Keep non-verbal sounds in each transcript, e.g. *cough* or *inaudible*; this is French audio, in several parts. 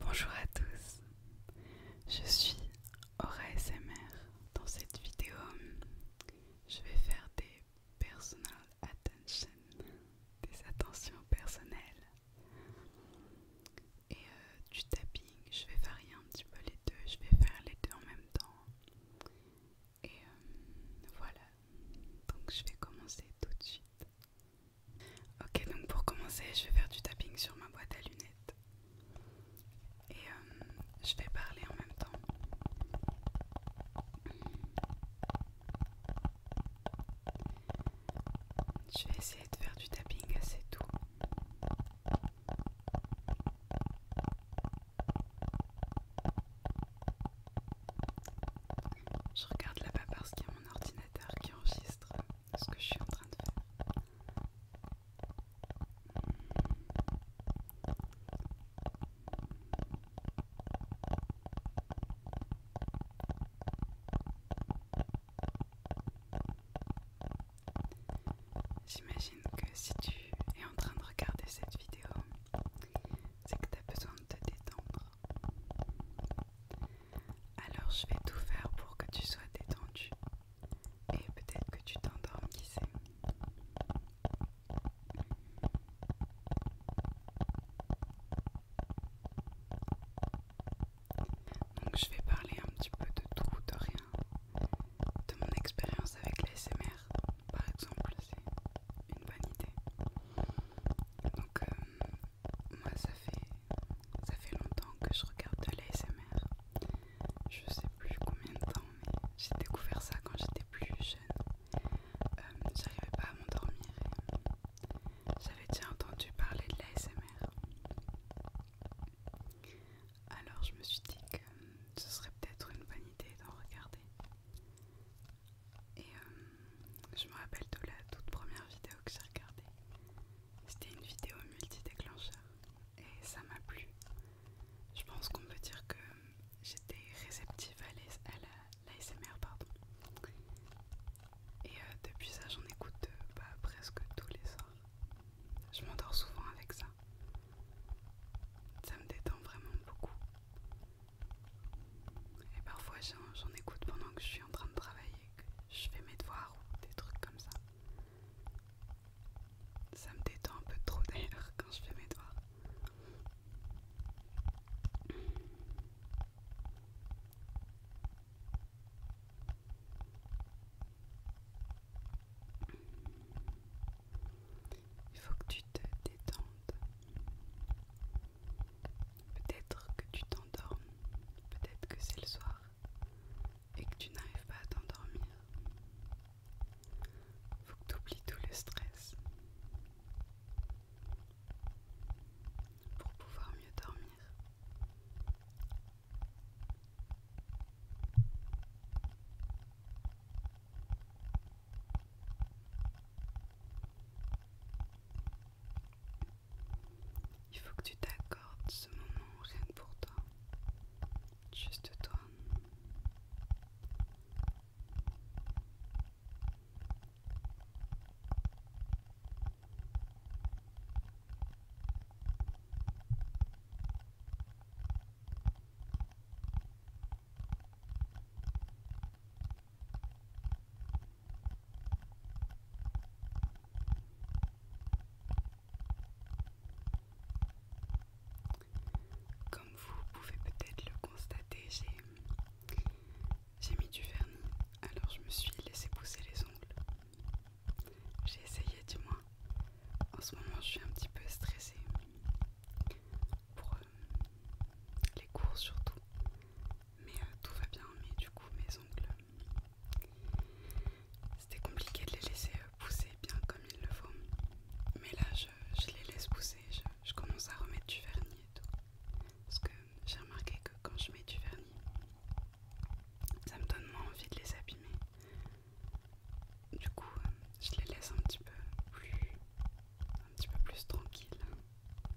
Bonjour à tous, je suis Aura SMR. Dans cette vidéo, je vais faire des personal attention, des attentions personnelles et euh, du tapping. Je vais varier un petit peu les deux, je vais faire les deux en même temps. Et euh, voilà, donc je vais commencer tout de suite. Ok, donc pour commencer, je vais faire du tapping sur ma boîte à lunettes. Et euh, je vais parler en même temps. Je vais essayer de faire du tapping assez doux. Je regarde là-bas parce qu'il y a mon ordinateur qui enregistre ce que je suis en train de faire. J'imagine que si tu es en train de regarder cette vidéo, c'est que tu as besoin de te détendre. Alors je vais tout faire pour que tu sois détendu et peut-être que tu t'endormes, qui sait. Donc je vais parler un petit peu de tout, de rien, de mon expérience avec l'ASMR par exemple, c'est une bonne idée. Euh, moi ça fait ça fait longtemps que je regarde de l'ASMR. Je sais plus combien de temps, mais j'ai découvert ça quand j'étais plus jeune. Euh, j'arrivais pas à m'endormir et j'avais déjà entendu parler de l'ASMR. Alors je me suis dit que ce serait peut-être une bonne idée d'en regarder. Et euh, je me rappelle de la toute première vidéo que j'ai regardée. C'était une vidéo multi-déclencheur et ça m'a plu. Je pense qu'on peut dire que j'étais réceptive à l'ASMR. Pardon. Et euh, depuis ça, j'en écoute euh, bah, presque tous les soirs. Je m'endors souvent avec ça. Ça me détend vraiment beaucoup. Et parfois j'en écoute pendant que je suis en train de travailler, que je fais mes devoirs ou des trucs comme ça. Ça me détend un peu trop d'ailleurs *laughs* quand je fais mes devoirs. Il faut que tu te détendes. Peut-être que tu t'endormes, peut-être que c'est le soir et que tu n'arrives pas à t'endormir. Faut que tu oublies tout le stress pour pouvoir mieux dormir. Il faut que tu t'accordes ce moment rien pour toi. Juste toi. Comme vous pouvez peut-être le constater, j'ai mis du vernis, alors je me suis laissé pousser les ongles. J'ai essayé du moins. En ce moment, je suis un petit peu stressée pour euh, les cours surtout mais euh, tout va bien. Mais du coup, mes ongles, euh, c'était compliqué de les laisser euh, pousser bien comme il le faut. Mais là, je, les laisse pousser, je, commence à remettre du vernis et tout. Parce que j'ai remarqué que quand je mets du vernis, ça me donne moins envie de les abîmer. Du coup, je les laisse un petit peu plus, un petit peu plus tranquilles.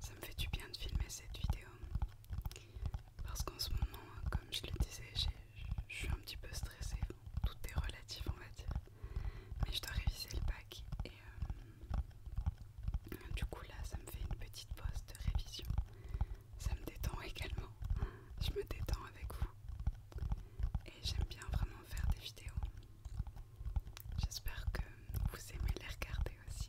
Ça me fait du bien de filmer cette vidéo. Parce qu'en ce moment, comme je le disais, je suis un petit peu stressée. Tout est relatif, on va dire. Mais je dois réviser le bac. Et euh, du coup, là, ça me fait une petite pause de révision. Ça me détend *laughs* également. Je me détends avec vous. Et j'aime bien vraiment faire des vidéos. J'espère que vous aimez les regarder aussi.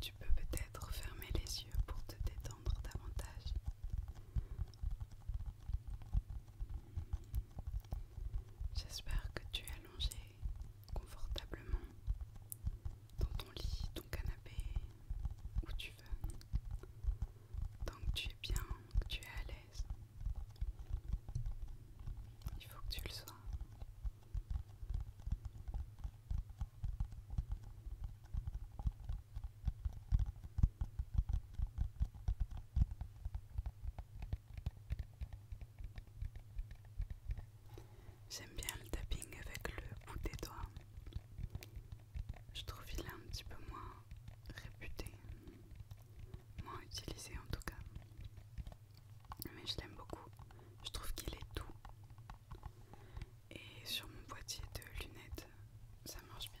Tu peux peut-être fermer les yeux pour te détendre davantage. J'espère que tu es allongé confortablement dans ton lit, ton canapé, où tu veux. Tant que tu es bien, que tu es à l'aise. Il faut que tu le sois. J'aime bien le tapping avec le bout des doigts. Je trouve qu'il est un petit peu moins réputé, moins utilisé en tout cas. Mais je l'aime beaucoup. Je trouve qu'il est doux. Et sur mon boîtier de lunettes, ça marche bien.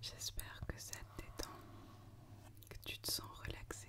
J'espère que ça te détend, que tu te sens relaxé.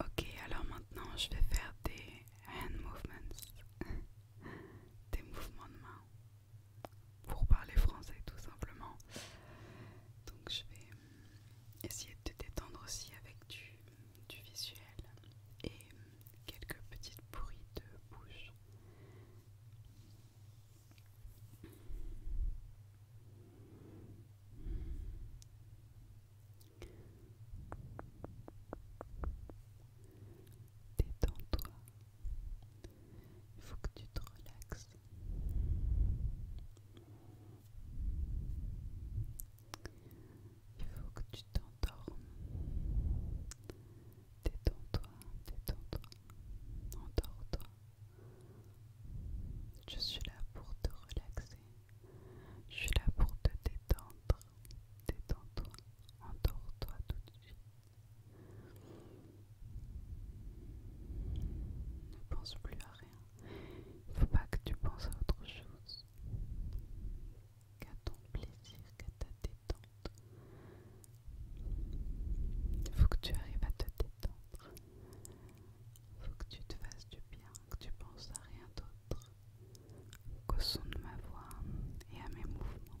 Ok, alors maintenant je vais faire des hand movements, *laughs* des mouvements de main pour parler français tout simplement. Donc je vais essayer de te détendre aussi avec du, visuel et quelques petites bruits de bouche. Détends-toi. Il faut que tu te relaxes. Il faut que tu t'endormes. Détends-toi, détends-toi. Endors-toi. Je suis là pour te relaxer. Je suis là pour te détendre. Détends-toi. Endors-toi tout de suite. Ne pense plus à rien. Il ne faut pas que tu penses à autre chose. Qu'à ton plaisir, qu'à ta détente. Il faut que tu arrives à te détendre. Il faut que tu te fasses du bien que tu penses à rien d'autre qu'au son de ma voix et à mes mouvements.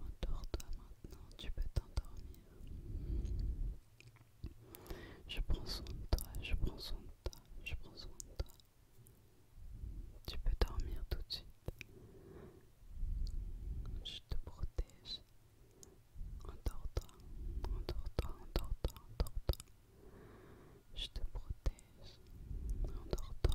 Endors-toi maintenant, tu peux t'endormir. Je prends soin de toi, je prends soin de toi, je prends soin de toi. Tu peux dormir tout de suite. Je te protège. Endors-toi, endors-toi, toi toi Je te protège. Endors-toi,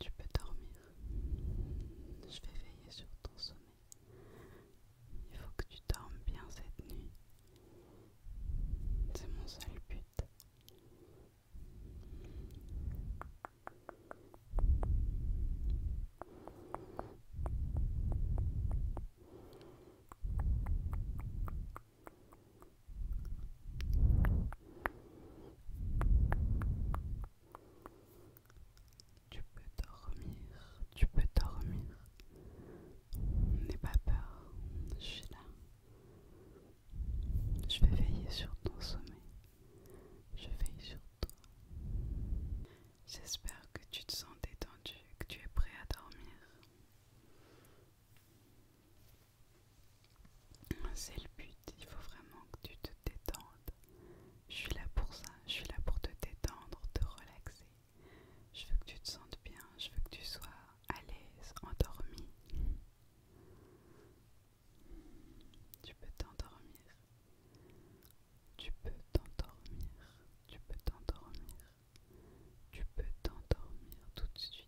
tu peux dormir. Je vais veiller sur ton sommeil. Il faut que tu dormes bien cette nuit. C'est mon seul but. Tu peux dormir, tu peux dormir. N'aie pas peur, je suis là. Je vais veiller sur ton sommeil. Je veille sur toi. J'espère que tu te sens détendu, que tu es prêt à dormir. C'est le but, il faut vraiment que tu te détendes. Je suis là pour ça, je suis là pour te détendre, te relaxer. Je veux que tu te sentes bien, je veux que tu sois à l'aise, endormi. Tu peux t'endormir. Tu peux t'endormir. Tu peux t'endormir. Tu peux t'endormir tout de suite.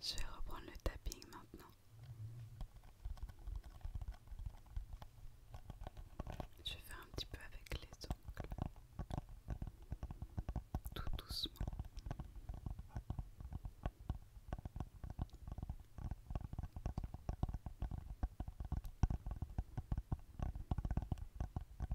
Je vais reprendre le tapping maintenant. Je vais faire un petit peu avec les ongles. Tout doucement.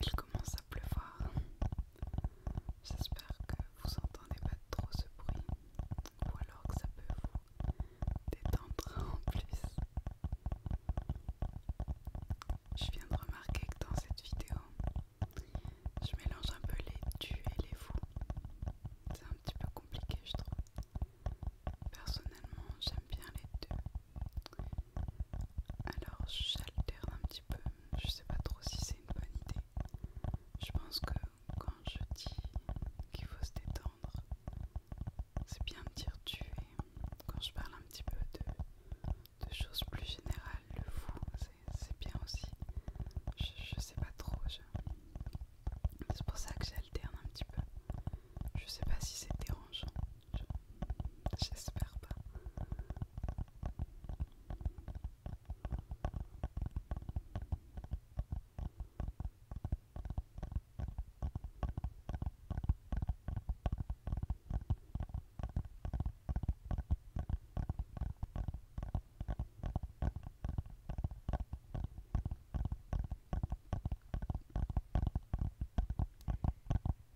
Il commence à pleuvoir. J'espère que vous entendez pas trop ce bruit ou alors que ça peut vous détendre *laughs* en plus. Je viens de remarquer que dans cette vidéo, je mélange un peu les tu et les vous. C'est un petit peu compliqué, je trouve. Personnellement, j'aime bien les deux. Alors j'alterne un petit peu, je sais pas trop si c'est une bonne idée. Je pense que quand je dis qu'il faut se détendre, c'est bien de dire tu es quand je parle un petit peu de, choses plus générales, le vous, c'est bien aussi. Je, je sais pas trop, c'est pour ça que j'alterne un petit peu. Je sais pas si c'est dérangeant. J'espère pas.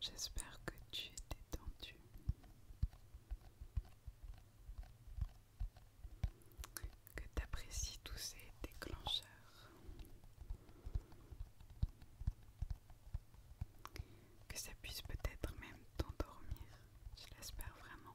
J'espère que tu es détendu que t'apprécies tous ces déclencheurs. Que ça puisse peut-être même t'endormir, je l'espère vraiment.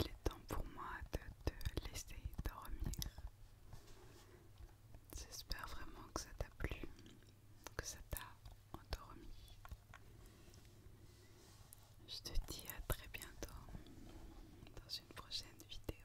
Il est temps pour moi de te laisser dormir. J'espère vraiment que ça t'a plu, que ça t'a endormi. Je te dis à très bientôt dans une prochaine vidéo.